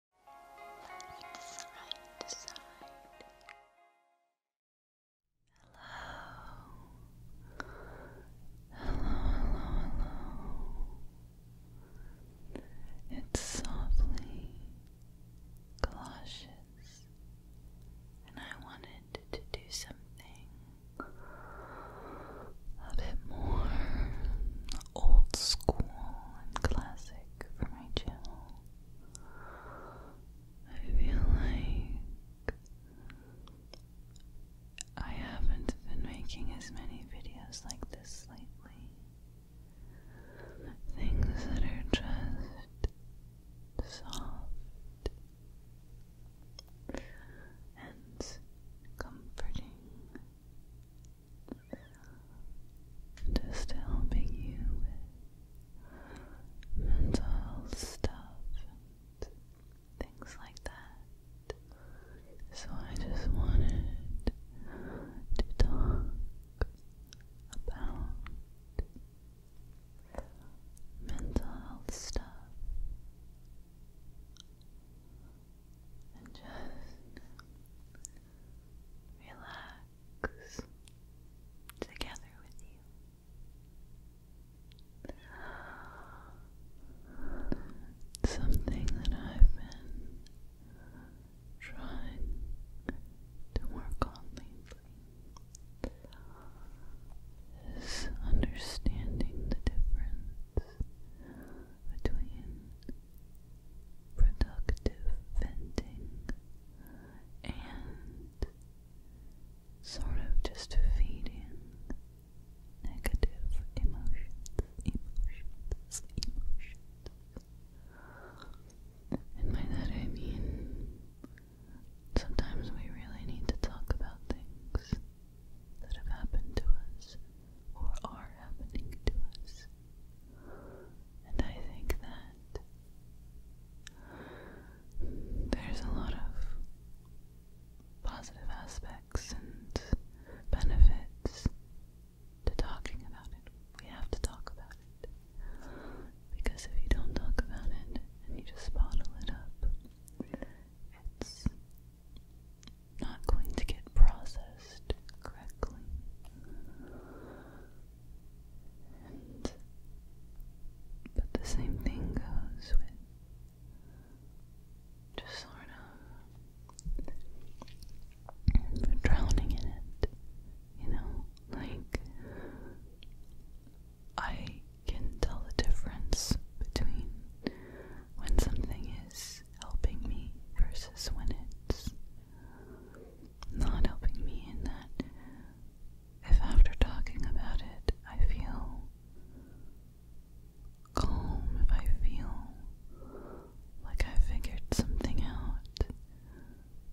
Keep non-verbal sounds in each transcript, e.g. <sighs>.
Hello. Hello, hello, hello. It's softly galoshes, and I wanted to do something a bit more old school and classic for my channel. I feel like I haven't been making as many videos like this lately. Things that are just soft and comforting just helping you with mental stuff things like that. So I just wanted to talk about mental health stuff and just relax together with you. Something that I've been trying to work on lately is understanding the difference between productive venting and sort of just feeding negative emotions, emotions, emotions. And by that I mean sometimes we really need to talk about things that have happened to us or are happening to us. And I think that there's a lot of positive aspects and benefits to talking about it. We have to talk about it. Because if you don't talk about it and you just bottle it up, it's not going to get processed focused correctly. but the same thing goes with just sort of drowning in it, you know? Like, I can tell the difference between when something is helping me versus when it's not helping me in that if after talking about it I feel calm, if I feel like I figured something out,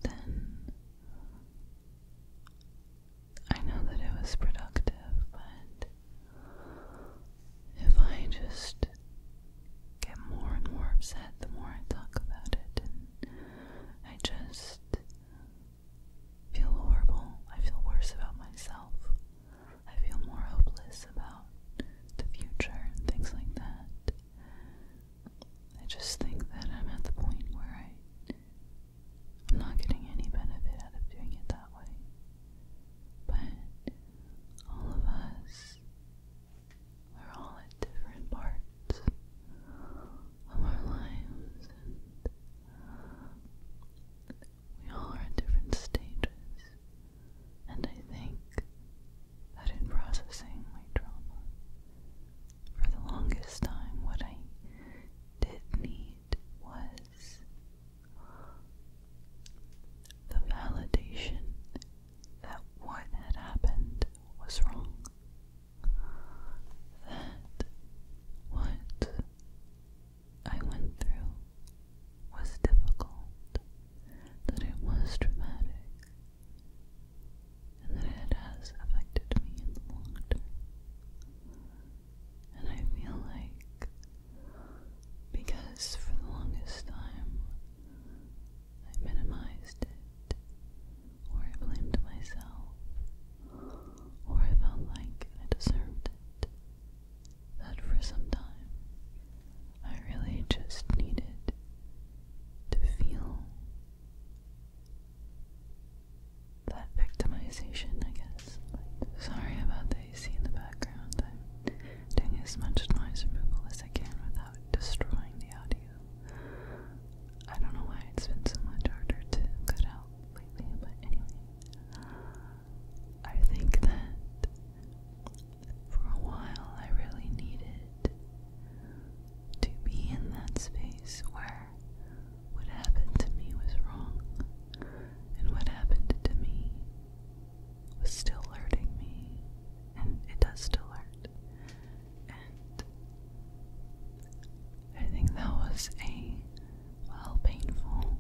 then I know that it was productive, but if I just get more and more upset the more I talk about it, and I just feel horrible. I feel worse about myself. I feel more hopeless about the future and things like that. I just think that I'm at the point where I, I'm not getting any benefit out of doing it that way. But all of us we're all at different parts of our lives, and we all are at different stages. And I think that in processing my trauma, for the longest time, what I did need was the validation that what had happened was wrong. That what I went through was difficult, that it was dramatic, and that it has affected me in the long term. And I feel like because for the longest time I minimized it, or I blamed myself, or I felt like I deserved it. That for some time, I really just needed to feel that victimization, I guess. sorry about the AC in the background. I'm doing as much noise removal as I can destroying the audio. I don't know why it's been so much harder to cut out lately, but anyway. I think that for a while I really needed to be in that space where what happened to me was wrong and what happened to me was still hurting me, and it does still hurt. And I think that was a, well, painful,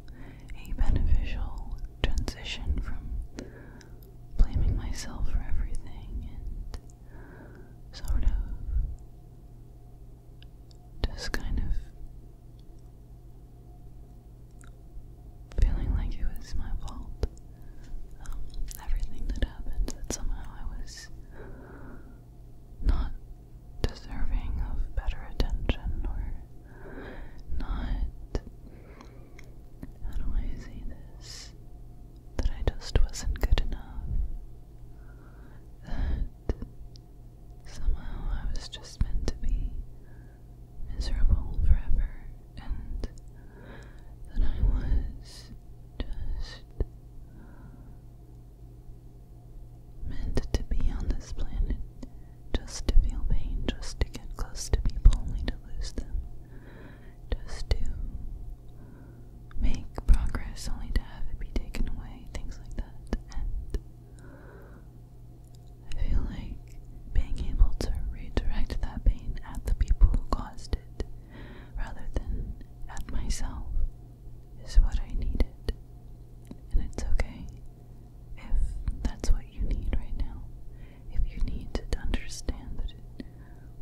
a beneficial transition from blaming myself for everything and sort of just kind of feeling like it was my fault. Um, everything that happened, that somehow I was not deserving of better attention or not. How do I say this? That I just wasn't good enough. That somehow I was just meant to be miserable forever and that I was just meant to be on this planet just to feel pain, just to get close to people only to lose them, just to make progress only to have it be taken away, things like that. And I feel like being able to redirect that pain at the people who caused it rather than at myself is what I needed. And it's okay if that's what you need right now. If you need to understand that it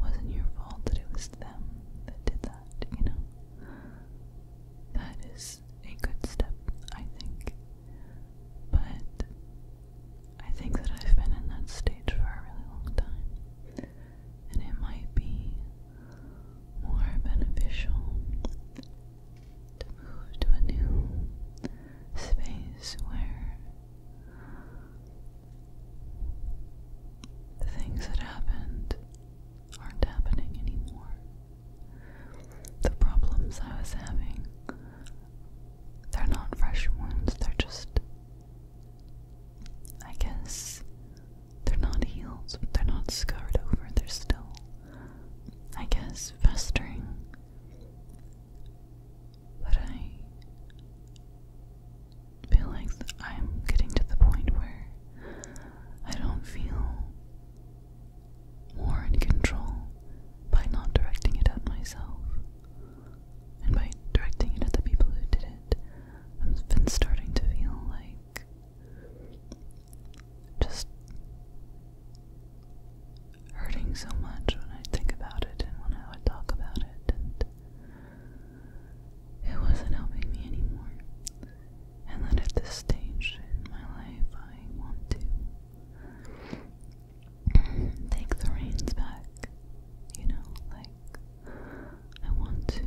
wasn't your fault, that it was them that did that, you know? That is a good step, I think. But I think that I've been in that stage for a really long time, and it might be more beneficial to move to a new space where the things that happened aren't happening anymore. The problems I was having, they're not fresh wounds, they're just I guess they're not healed, they're not scarred over, they're still, I guess, festering. But I feel like I'm getting to the point where I don't feel more in control by not directing it at myself and by directing it at the people who did it, I've been starting to feel like just hurting so much when I think about it and when I would talk about it, and it wasn't helping me anymore. And then at this stage in my life, I want to <sighs> take the reins back. You know, like I want to.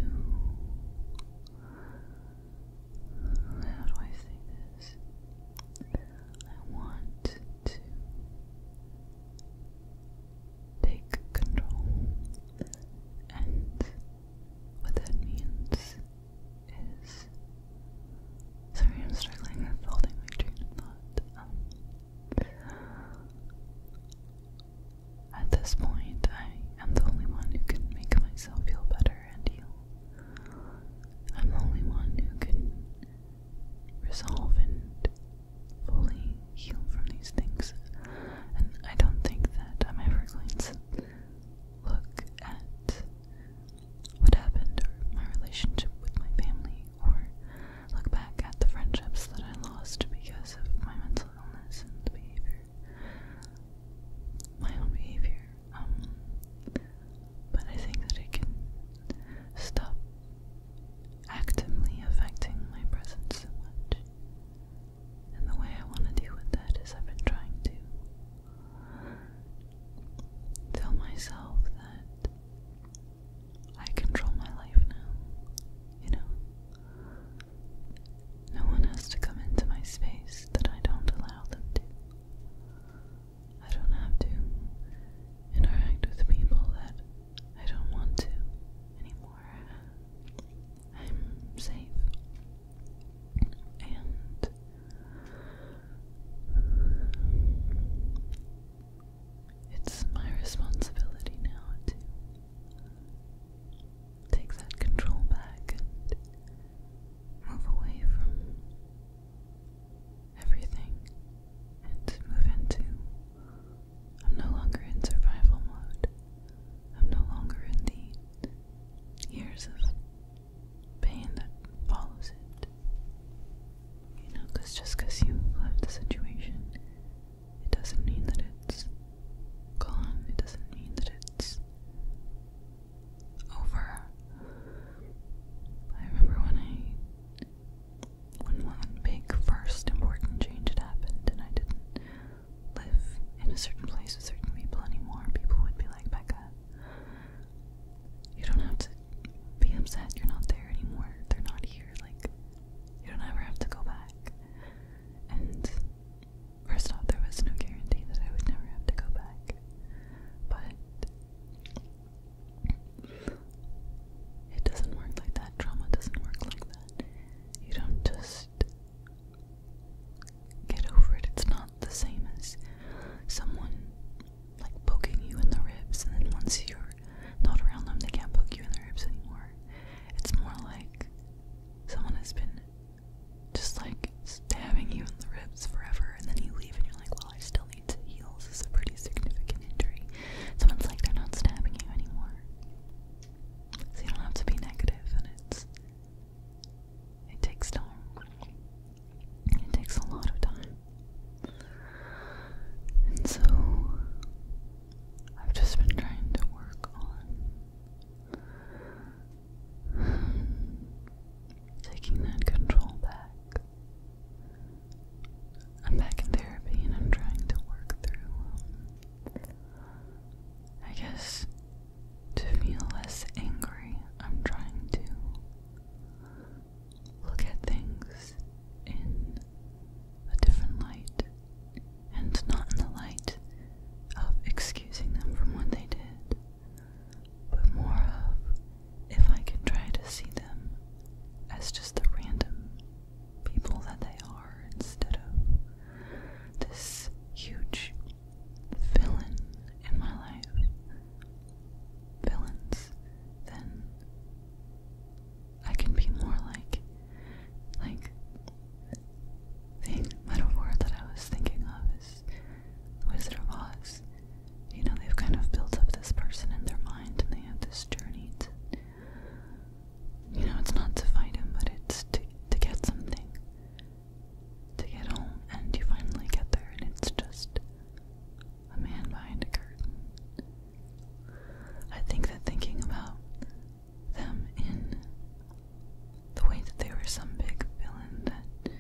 How do I say this? I want to take control, and what that means is. Sorry, I'm struggling with holding my train of thought. Um, at this point, I am the only one who can make myself feel better and heal. I'm the only one who can resolve and fully heal from these things. And I don't think that I'm ever going to look at what happened or my relationship with my family or look back at the friendships that I lost because of my mental illness and behavior, my own behavior. Um, but I think that it can stop actively affecting my presence so much. And the way I want to deal with that is I've been trying to tell myself that I control my life now, you know? No one has to come into my space that I don't allow them to. I don't have to interact with people that I don't want to anymore. I'm safe. And it's my responsibility now to take that control back and move away from everything and move into. I'm no longer in survival mode. I'm no longer in the years of pain that follows it. You know, because just because you left the situation it doesn't mean that it's gone, it doesn't mean that it's over. I remember when I when one big first important change had happened and I didn't live in a certain place with certain people anymore, people would be like, Becca, you don't have to be upset, you're not there anymore, they're not here, like you don't ever have to go back. And first off, there was no guarantee that I would never have to go back. But it doesn't work like that. Trauma doesn't work like that. You don't just get over it. It's not the same as someone like poking you in the ribs, and then once you're not around them, they can't poke you in the ribs anymore. It's more like someone has been just like stabbing you in the ribs forever, and then you leave and you're like, well, I still need to heal. This is a pretty significant injury. Someone's like, they're not stabbing you anymore. So you don't have to be negative, and it's. It takes time. It takes a lot of time. And so I've just been trying to work on taking that control back. I'm back in therapy and I'm trying to work through, um, I guess, to feel less angry. I'm trying to look at things in a different light and not in the light of excusing them from what they did, but more of if I can try to see them as just the random people that they are instead of this huge villain in my life. Villains, then I can be more like, like, the metaphor that I was thinking of is Wizard of Oz. You know, they've kind of built up this person in their mind and they have this journey you know, it's not to fight him, but it's to, to get something, to get home, and you finally get there and it's just a man behind a curtain I think that thinking about them in the way that they were some big villain that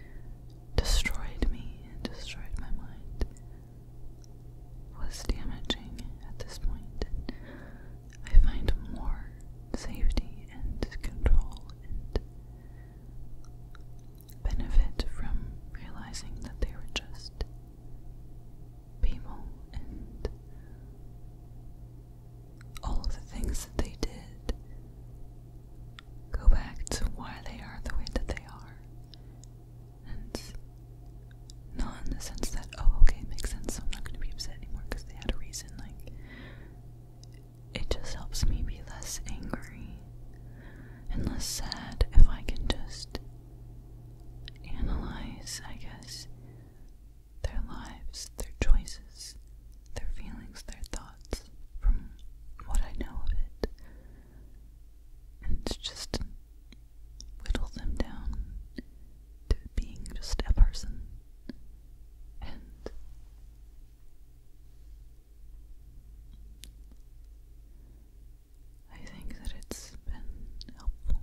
destroyed me and destroyed my mind was damaging at this point. I find more safety and control and benefit from realizing that they were just people and all of the things that they did go back to why they are the way that they are. And not in the sense that, oh, okay, makes sense, I'm not going to be upset anymore because they had a reason. Like, it just helps me be less angry and less sad if I can just analyze, I guess, their lives, their choices, their feelings, their thoughts from what I know of it. And it's just whittle them down to being just a person. And I think that it's been helpful.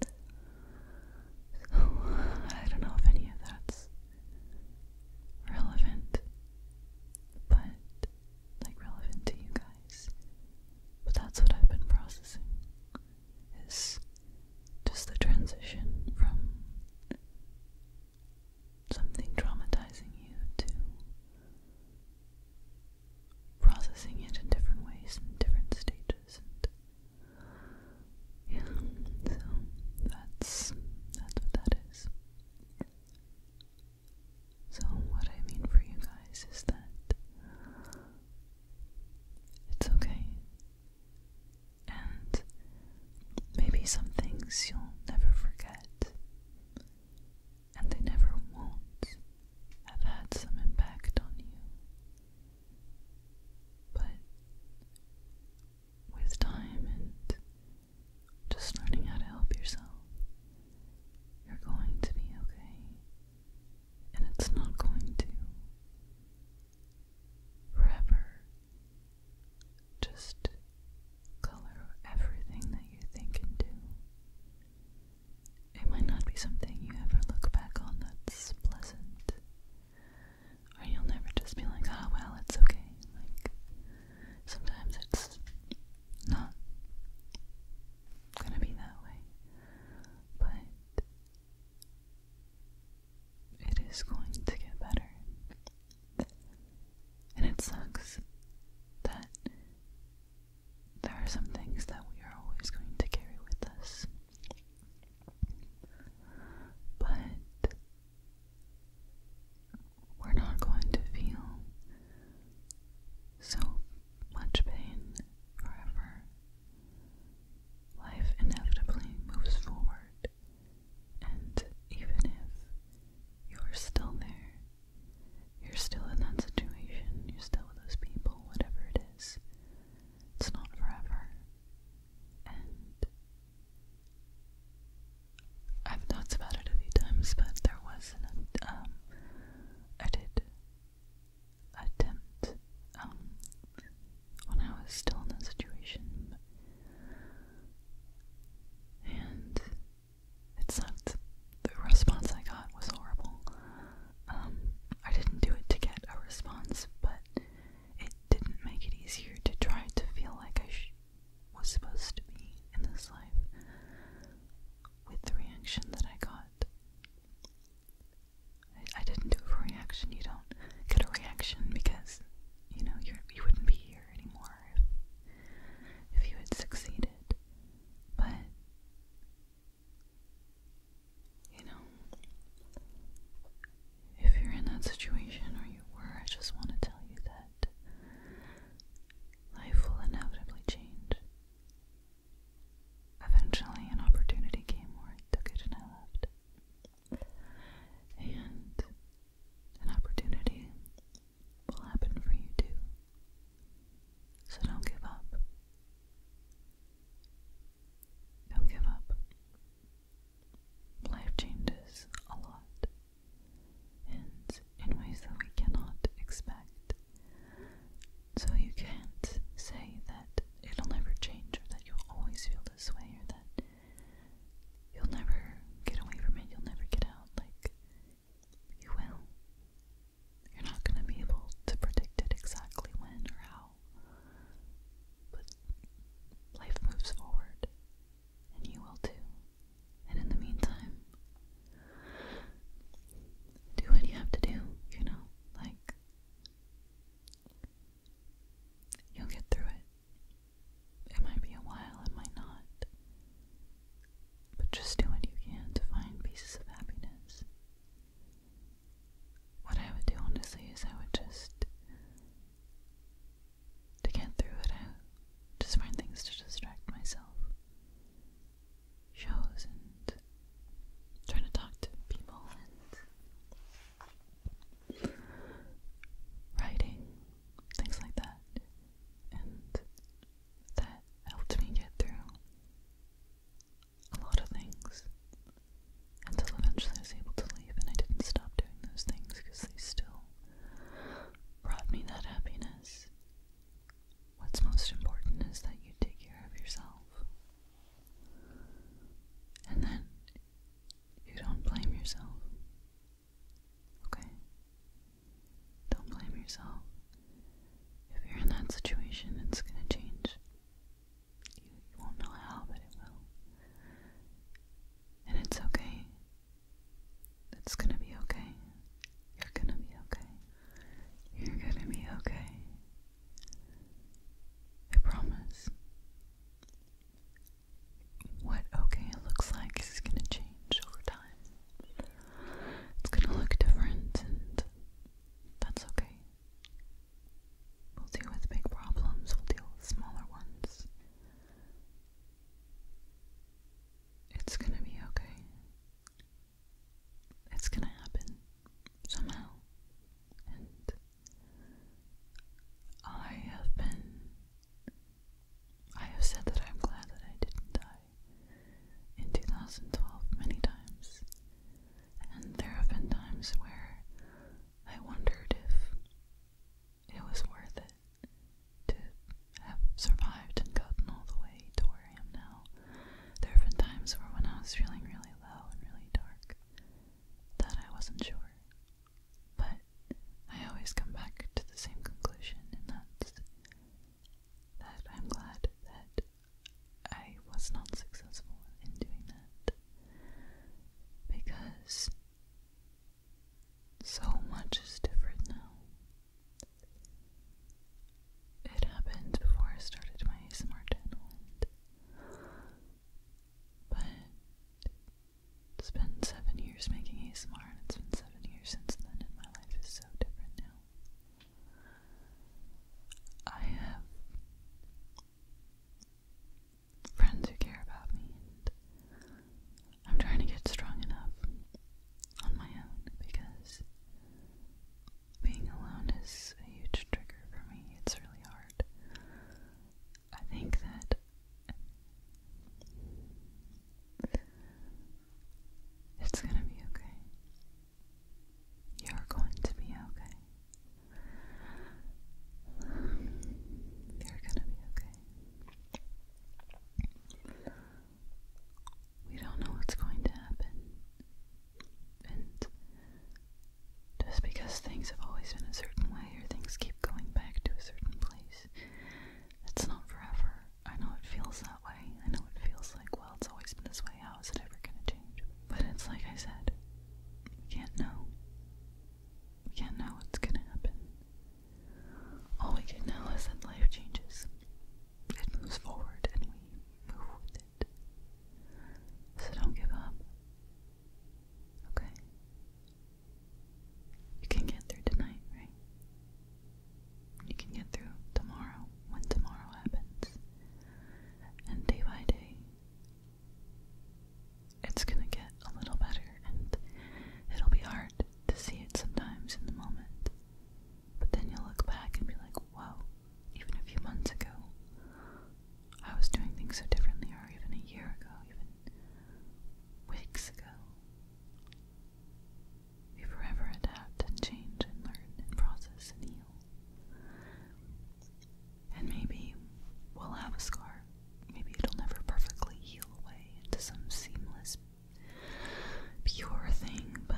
<laughs> I don't know if any of that's relevant, but like relevant to you guys. But that's what I've been processing is just the transition from something traumatizing you to processing it in different ways in different stages and yeah, so that's that's what that is. So what I mean for you guys is that it's okay. And maybe some things you'll never forget and they never won't have had some impact on you. But with time and just learning how to help yourself, you're going to be okay. And it's not going to forever just color everything that you think and do. It might not be something you ever look back on that's pleasant. Or you'll never just be like, ah, well, it's okay. Like, sometimes it's not gonna be that way. But it is going to get better. And it sucks that there are some things that we are always going to carry with us. But we're not going to feel so much pain forever. Life inevitably moves forward, and even if you're still there, you're still in that situation, you're still with those people, whatever it is. It's not forever. And I've thought about it a few times, but there was an um I did attempt um when I was still in that situation. And it sucked. The response I got was horrible. Um, I didn't do it to get a response, but it didn't make it easier to try to feel like I was supposed to be in this life with the reaction that I got. I, didn't do it for reaction. You don't get a reaction because you know you're, you you would not be here anymore if, if you had succeeded. But you know, if you're in that situation or you were, I just want to tell you that life will inevitably change. Eventually, an opportunity came where I took it and I left. And an opportunity will happen for you too. So don't give up. Don't give up. Life changes a lot, and in ways that we cannot expect. So you can't say that it'll never change, or that you'll always feel this way, or that you'll never get away from it, you'll never get out. Like, you will. You're not going to be able to predict it exactly when or how, but life moves forward, and you will too. And in the meantime, do what you have to do, you know, like, you'll get through it. It might be a while, it might not, but just do what you can to find pieces of happiness what I would do, honestly, is I would just, to get through it, I just find things to distract myself. Shows and trying to talk to people and writing, things like that. And that helped me get through a lot of things until eventually I was able to leave, and I didn't stop doing those things because they still brought me that happiness. What's most important is that you take care of yourself, and then you don't blame yourself. Okay? Don't blame yourself. If you're in that situation, it's going to change. You, won't know how, but it will. And it's okay. It's going to be okay. You're going to be okay. You're going to be okay. I promise. What okay looks like is going to change over time. It's going to look different, that's okay. We'll deal with big problems, we'll deal with smaller ones. It's gonna be okay. It's gonna happen somehow. And I have been. I have said that I'm glad that I didn't die in 2012 many times, and there have been times where I wondered if it was worth it to have survived and gotten all the way to where I am now. There have been times where when I was feeling really low and really dark that I wasn't sure. But I always come back to the same conclusion and that's that I'm glad that I was not successful in doing that because so much is different now. It happened before I started my ASMR channel, but it's been seven years making ASMR, and it's been seven years since then, and my life is so different now. I have friends who care about me, and I'm trying to get strong enough on my own because being alone is a huge trigger for me. It's really hard. I think that. It's gonna be okay. You're going to be okay. You're gonna be okay. We don't know what's going to happen. And just because things have always been a certain way or things keep going back to a certain place, it's not forever. I know it feels that way. I know it feels like, well, it's always been this way. How is it ever going to change? But it's like I said, we can't know. We can't know what's going to happen. All we can know is that life changes, it moves forward, and we move with it. So don't give up. Okay? You can get through tonight, right? You can get through tomorrow when tomorrow happens. And day by day, it's gonna get a little better, and it'll be hard to see it sometimes in the moment. But then you'll look back and be like, "Wow, even a few months ago, I was doing things so differently, or even a year ago, even weeks ago. We forever adapt and change and learn and process and heal. And maybe we'll have a scar. Maybe it'll never perfectly heal away into some seamless, pure thing, but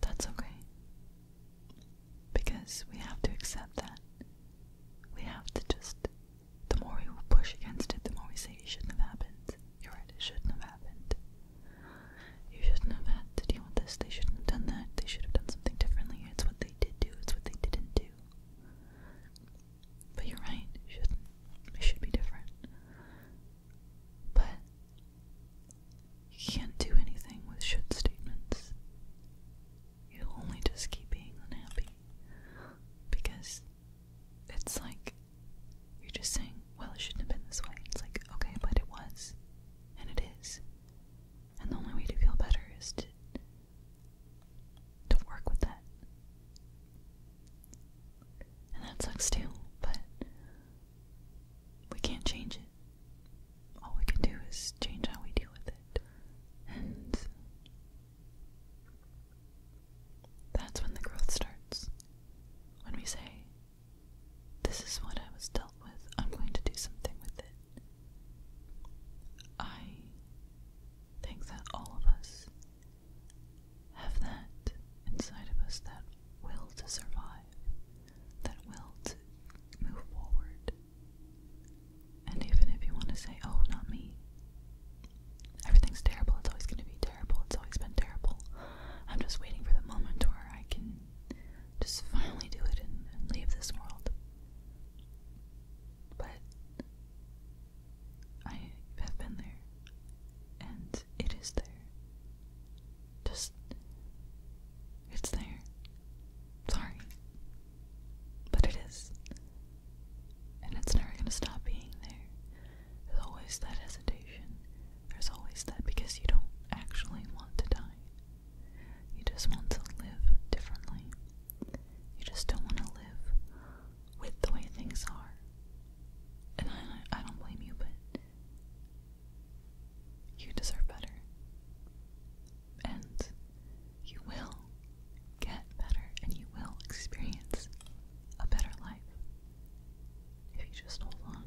that's okay. Because we have to accept that. We have to just, the more we push against it, the more we say it shouldn't have happened. You're right, it shouldn't have happened. You shouldn't have had to deal with this. They shouldn't have done that. They should have done something differently. It's what they did do, it's what they didn't do. But you're right, it shouldn't. It should be different. But you can't do anything with should statements. You will only just keep being unhappy. Because it's like you're just saying, well, it shouldn't have been this way. It's like, okay, but it was. And it is. And the only way to feel better is to to work with that. And that sucks too, but we can't change it. All we can do is change how we deal with it. And that's when the growth starts. When we say, this is what I was dealt with. I'm going to do something with it. I think that all of us have that inside of us that will to survive, that will to move forward. And even if you want to say, oh, not me, everything's terrible, it's always going to be terrible, it's always been terrible, I'm just waiting for the moment where I can just finally do it and, leave this world. But I have been there, and it is there. Just, it's there. Sorry. But it is. And it's never gonna stop being there. There's always that hesitation there's always that because you don't actually want to die. You just want to live differently. You just don't want to live with the way things are. And I, I don't blame you, but you deserve better. And you will get better and you will experience a better life. If you just hold on,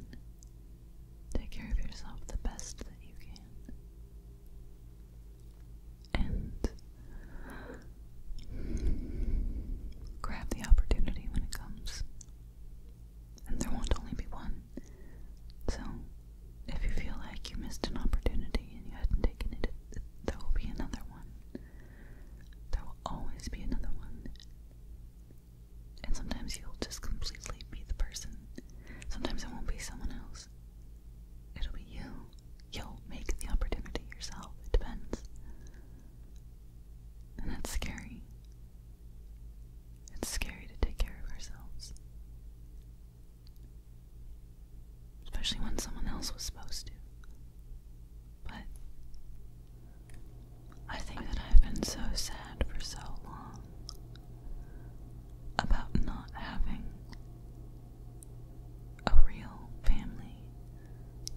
take care of yourself the best that you can, and grab the opportunity when it comes. And there won't only be one. So, if you feel like you missed an opportunity and you hadn't taken it, it there will be another one. There will always be another one. And sometimes you'll just completely be the person. Sometimes it won't be someone else. It'll be you. You'll make the opportunity yourself. It depends. And that's scary. It's scary to take care of ourselves. Especially when someone else was supposed to. But I think that I've been so sad for so long about not having a real family,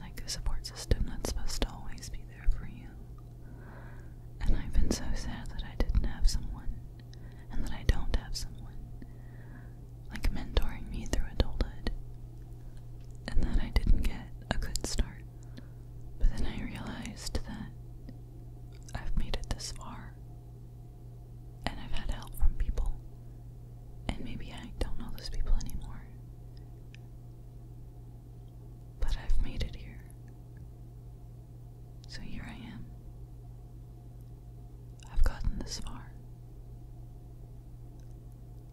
like a support system that's supposed to always be there for you. And I've been so sad that I didn't have someone, and that I don't have someone, like mentoring me through adulthood, and then I didn't get a good start. But then I realized that I've made it this far. And I've had help from people. And maybe I don't know those people anymore. But I've made it here. So here I am. I've gotten this far.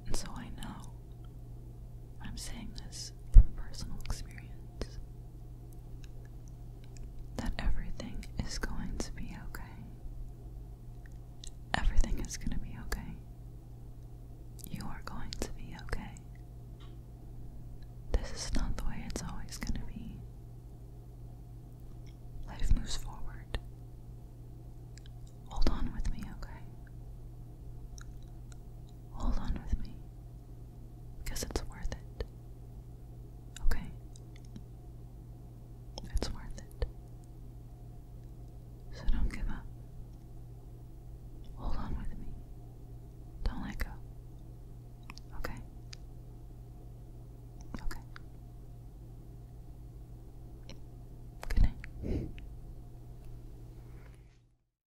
And so I know I'm saying this from personal experience that everything is going to be okay. Everything is going to be okay. You are going to be okay. This is not the way it's always going to be. Life moves forward. Hold on with me, okay? Hold on with me because it's worth it. Okay? It's worth it. So don't give up. Hold on with me. Don't let go. Okay? Okay. Good night.